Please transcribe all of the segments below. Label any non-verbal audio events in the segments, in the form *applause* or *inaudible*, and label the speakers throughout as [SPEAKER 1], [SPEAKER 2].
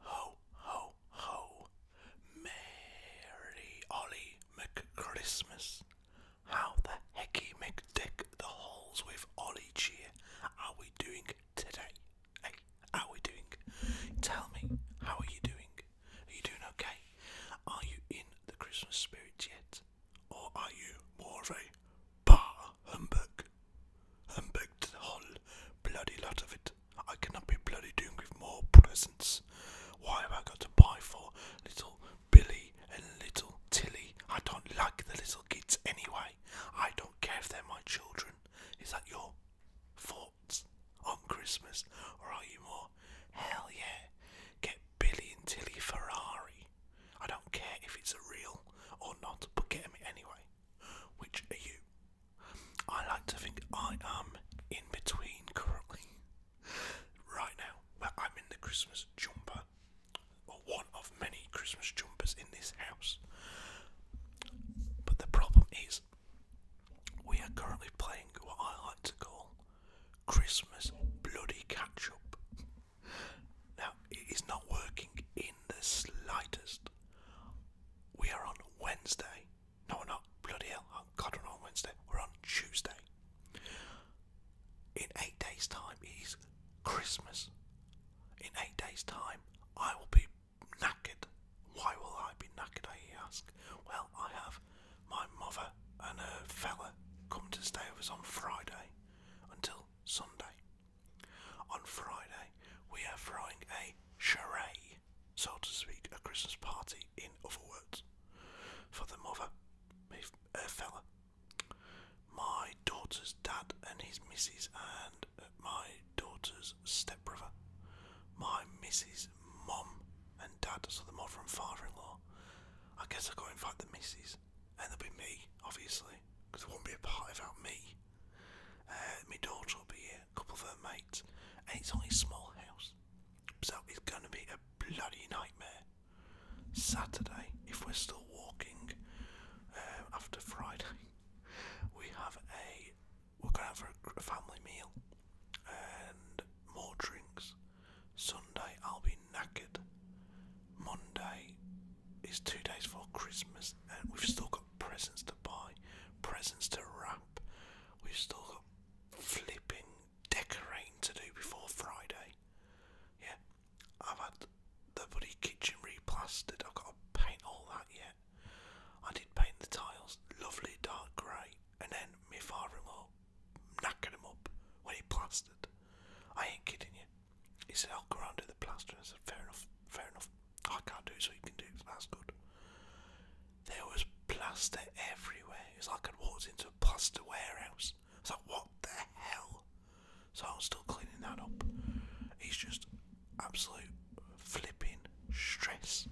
[SPEAKER 1] Ho, ho, ho. Merry Ollie McChristmas. How the hecky McDick the halls with Ollie cheer are we doing today? Hey, how are we doing? Tell me, how are you doing? Are you doing okay? Are you in the Christmas spirit yet? Or are you more of a bar humbug? Humbug to the whole bloody lot of it. I cannot be bloody doing with more presents. Why have I got to buy for little Billy and little Tilly? I don't like the little kids anyway. I don't care if they're my children. Is that your thoughts on Christmas? Or are you more, hell yeah, get Billy and Tilly Ferrari? I don't care if it's a real or not, but get me anyway. Which are you? I like to think I am in between currently. *laughs* Right now, well, I'm in the Christmas jumper, or one of many Christmas jumpers in this house. But the problem is, we are currently playing what I like to call Christmas bloody catch up. Now, it is not working in the slightest. We are on Wednesday. No, we're not. Bloody hell. Oh, God, we're on Wednesday. We're on Tuesday. In eight days' time, it is Christmas. In eight days' time, I will be naked. Why will I be knackered, he asked. Well, I have my mother and her fella come to stay with us on Friday until Sunday. On Friday, we are throwing a charade, so to speak, a Christmas party, in other words, for the mother, her fella my daughter's dad and his missus, and uh, my daughter's stepbrother, my missus, mum and dad, so the mother and father in law. I guess I have got to invite the missus, and there'll be me, obviously, because it won't be a party without me. Uh, my daughter will be here, a couple of her mates, and it's only a small house, so it's gonna be a bloody nightmare. Saturday, if we're still walking uh, after Friday, we have a we're going out for a family meal and more drinks. Sunday I'll be knackered. Monday is two days before Christmas and we've still got presents to buy, presents to wrap. We've still got flipping decorating to do before Friday. Yeah, I've had the bloody kitchen replastered. I've got to paint all that yet. I did paint the tiles, lovely dark grey, and then me father-in-law knackered them up when he plastered. I ain't kidding you. He said, I'll go around do the plaster. and I said, fair enough, fair enough. I can't do it, so you can do it. That's good. There was plaster everywhere. It like I'd walked into a plaster warehouse. It's like, what the hell? So I'm still cleaning that up. He's just absolute flipping stress.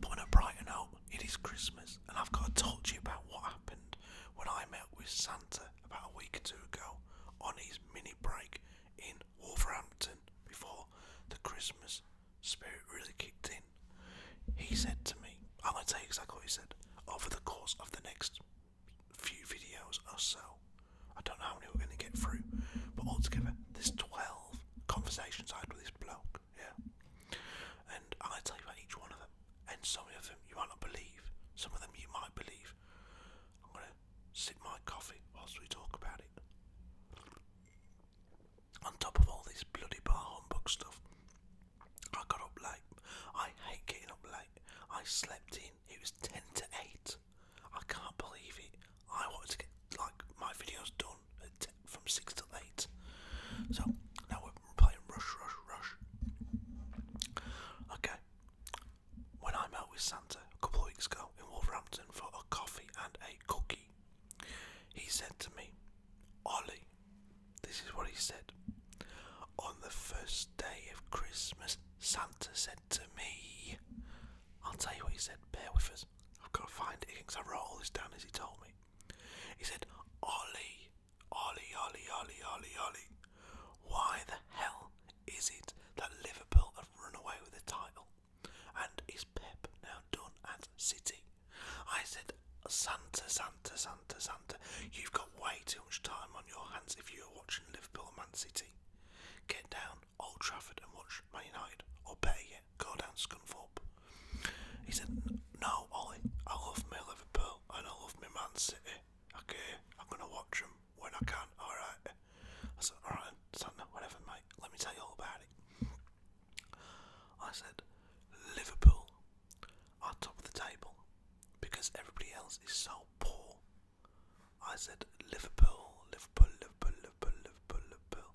[SPEAKER 1] But when I brighten out, it is Christmas, and I've got to talk to you about what happened when I met with Santa about a week or two ago on his mini break in Wolverhampton before the Christmas spirit really kicked in. He said to me, I'm going to tell you exactly what he said, over the course of the next few videos or so. I don't know how many we're going to get through, but altogether, there's 12 conversations I had with this bloke, yeah. And I tell you about each one of them, and some of them you might not believe, some of them you might believe. I'm going to sip my coffee whilst we talk about it. On top of all this bloody bar humbug stuff, I got up late. I hate getting up late. I slept in. It was ten to eight. I can't believe it. I wanted to get like my videos done at ten, from six to eight. So now we're playing Rush, Rush, Rush. Okay. When I met with Santa a couple of weeks ago in Wolverhampton for a coffee and a cookie, he said to me, Ollie, this is what he said. On the first day of Christmas, Santa said to me, I'll tell you what he said, bear with us. I've got to find it because I wrote all this down as he told me. He said, Ollie, Ollie, Ollie, Ollie, Ollie, Ollie, why the hell is it that Liverpool have run away with the title? And is Pep now done at City? I said, Santa, Santa, Santa. Santa, Santa, you've got way too much time on your hands if you're watching Liverpool and Man City. Get down Old Trafford and watch Man United, or better yet, go down Scunthorpe. He said, No, Ollie, I love my Liverpool and I love my Man City. Okay, I'm gonna watch them when I can, alright. I said, Alright, Santa, whatever, mate, let me tell you all about it. I said, Liverpool are top of the table because everybody else is so poor. I said Liverpool, Liverpool, Liverpool, Liverpool, Liverpool, Liverpool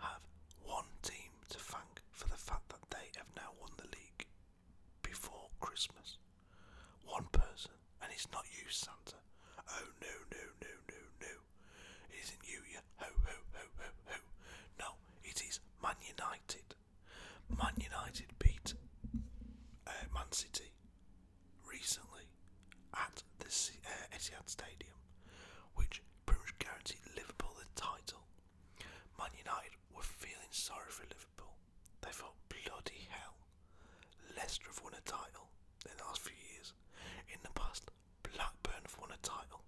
[SPEAKER 1] have one team to thank for the fact that they have now won the league before Christmas. One person, and it's not you, Santa. Oh no, no, no, no, no. It isn't you, you ho, ho, ho, ho, ho. No, it is Man United. Man United beat uh, Man City recently at the uh, Etihad Stadium, which pretty much guaranteed Liverpool the title. Man United were feeling sorry for Liverpool. They thought, bloody hell, Leicester have won a title in the last few years. In the past, Blackburn have won a title.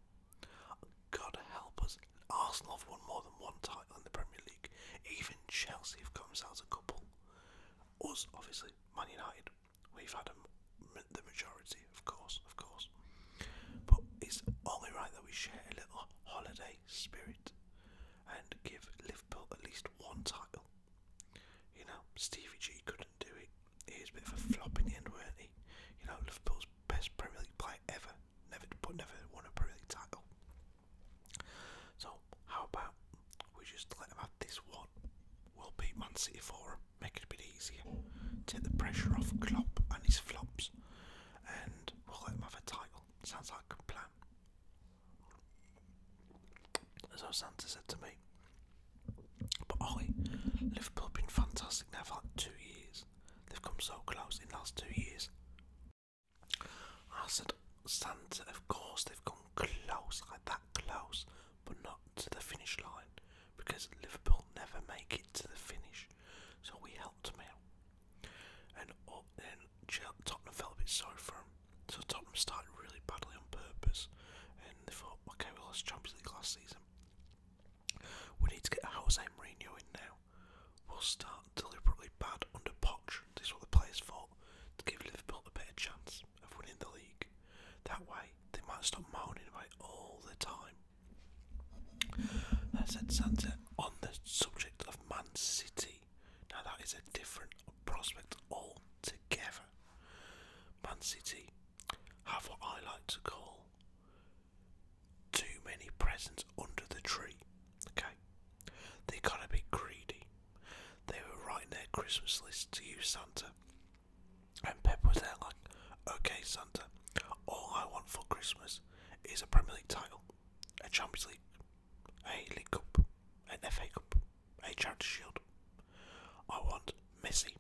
[SPEAKER 1] God help us. Arsenal have won more than one title in the Premier League. Even Chelsea have got themselves a couple. Us, obviously, Man United, we've had a, the majority, of course, of course. But it's only right that we share a little holiday spirit and give Liverpool at least one title. You know, Stevie G couldn't do it. He was a bit of a flop in the end, weren't he? You know, Liverpool's best Premier League player ever never but never won a Premier League title. So how about we just let them have this one? We'll beat Man City for them, make it a bit easier, take the pressure off Klopp and his flops, and we'll let them have a title. Sounds like a plan. So Santa said to me, but Ollie, Liverpool have been fantastic now for like two years. They've come so close in the last two years. I said, Santa, of course they've gone close, like that close, but not to the finish line because Liverpool never make it to the finish. So we helped them out. And, uh, and Tottenham felt a bit sorry for them. So Tottenham started really badly on purpose. And they thought, okay, we lost Champions League last season. We need to get Jose Mourinho in now we will start deliberately bad under Poch. This is what the players thought to give Liverpool a better chance of winning the league. That way, they might stop moaning about all the time. I said, Santa, on the subject of Man City, now that is a different prospect altogether. Man City have what I like to call too many presents under the tree. Okay, they got to be greedy. They were writing their Christmas list to you, Santa, and Pep was there like, "Okay, Santa, all I want for Christmas is a Premier League title, a Champions League, a League Cup, an FA Cup, a Charity Shield. I want Messi,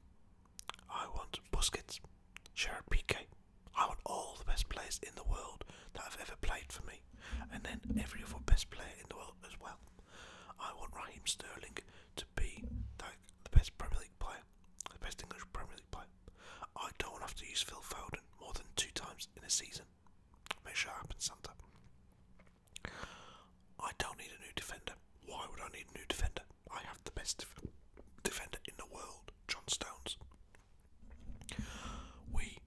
[SPEAKER 1] I want Busquets, Gerard Piqué. I want all the best players in the world that have ever played for me, and then every other best player in the world as well. I want Raheem Sterling to be like the best Premier League player, the best English Premier League player. I don't want to have to use Phil Foden more than two times in a season. Make sure it happens, Santa. I don't need a new defender. Why would I need a new defender? I have the best defender in the world, John Stones. We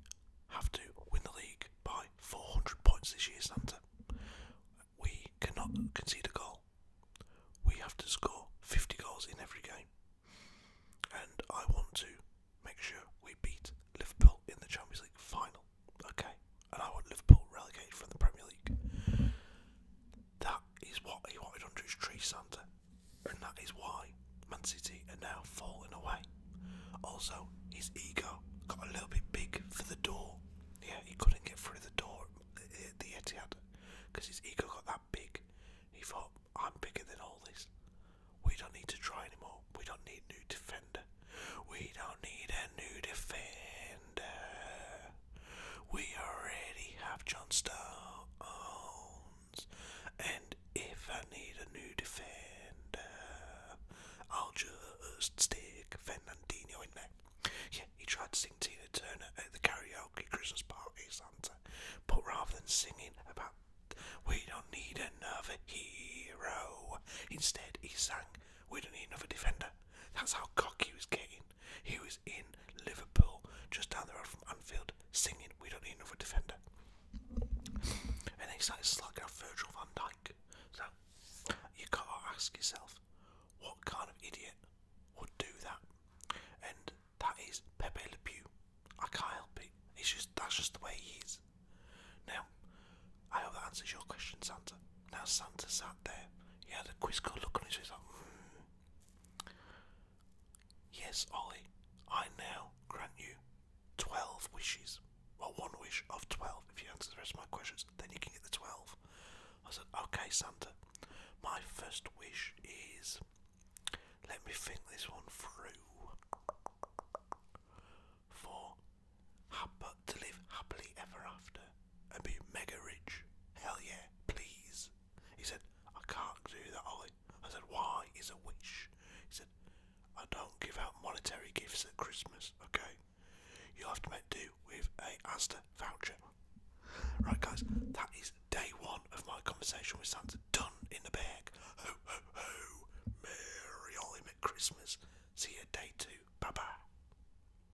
[SPEAKER 1] have to win the league by 400 points this year, Santa. We cannot concede a goal. We have to score 50 goals in every game. And I want to make sure we beat Liverpool in the Champions League final. Okay? And I want Liverpool relegated from the Premier League. That is what he wanted under his tree, Santa, and that is why Man City are now falling away. Also, his ego got a little bit big for the door. Yeah, he couldn't get through the door at the Etihad because his ego got that big. He thought, I'm bigger than all this. We don't need to try anymore. We don't need a new defender. We don't need a new defender. We already have John Stones, and if I need a new defender, I'll just stick Fernandinho in there. Yeah, he tried to sing Tina Turner at the karaoke Christmas parties, but rather than singing about we don't need another hero, instead he sang we don't need another defender. That's how cocky he was getting he was in Liverpool, just down the road from Anfield, singing "We Don't Need Another Defender," and then he started slagging off Virgil van Dijk. So you can to ask yourself, what kind of idiot would do that? And that is Pepe Le Pew. I can't help it. It's just that's just the way he is. Now, I hope that answers your question, Santa. Now Santa sat there. He had a quizzical look on his face, like, mm, Yes, Ollie, I now grant you 12 wishes. or one wish of 12. If you answer the rest of my questions, then you can get the 12. I said, okay, Santa, my first wish is. Let me think this one through. For to live happily ever after, and be mega rich. Hell yeah, please. He said, I can't do that, Ollie. I said, why? is a wish. He said, I don't give out monetary gifts at Christmas, okay? You'll have to make do with a Asda voucher. Right, guys, that is day one of my conversation with Santa. Done in the bag. Ho, ho, ho. Merry Ollie at Christmas. See you day two. Bye bye.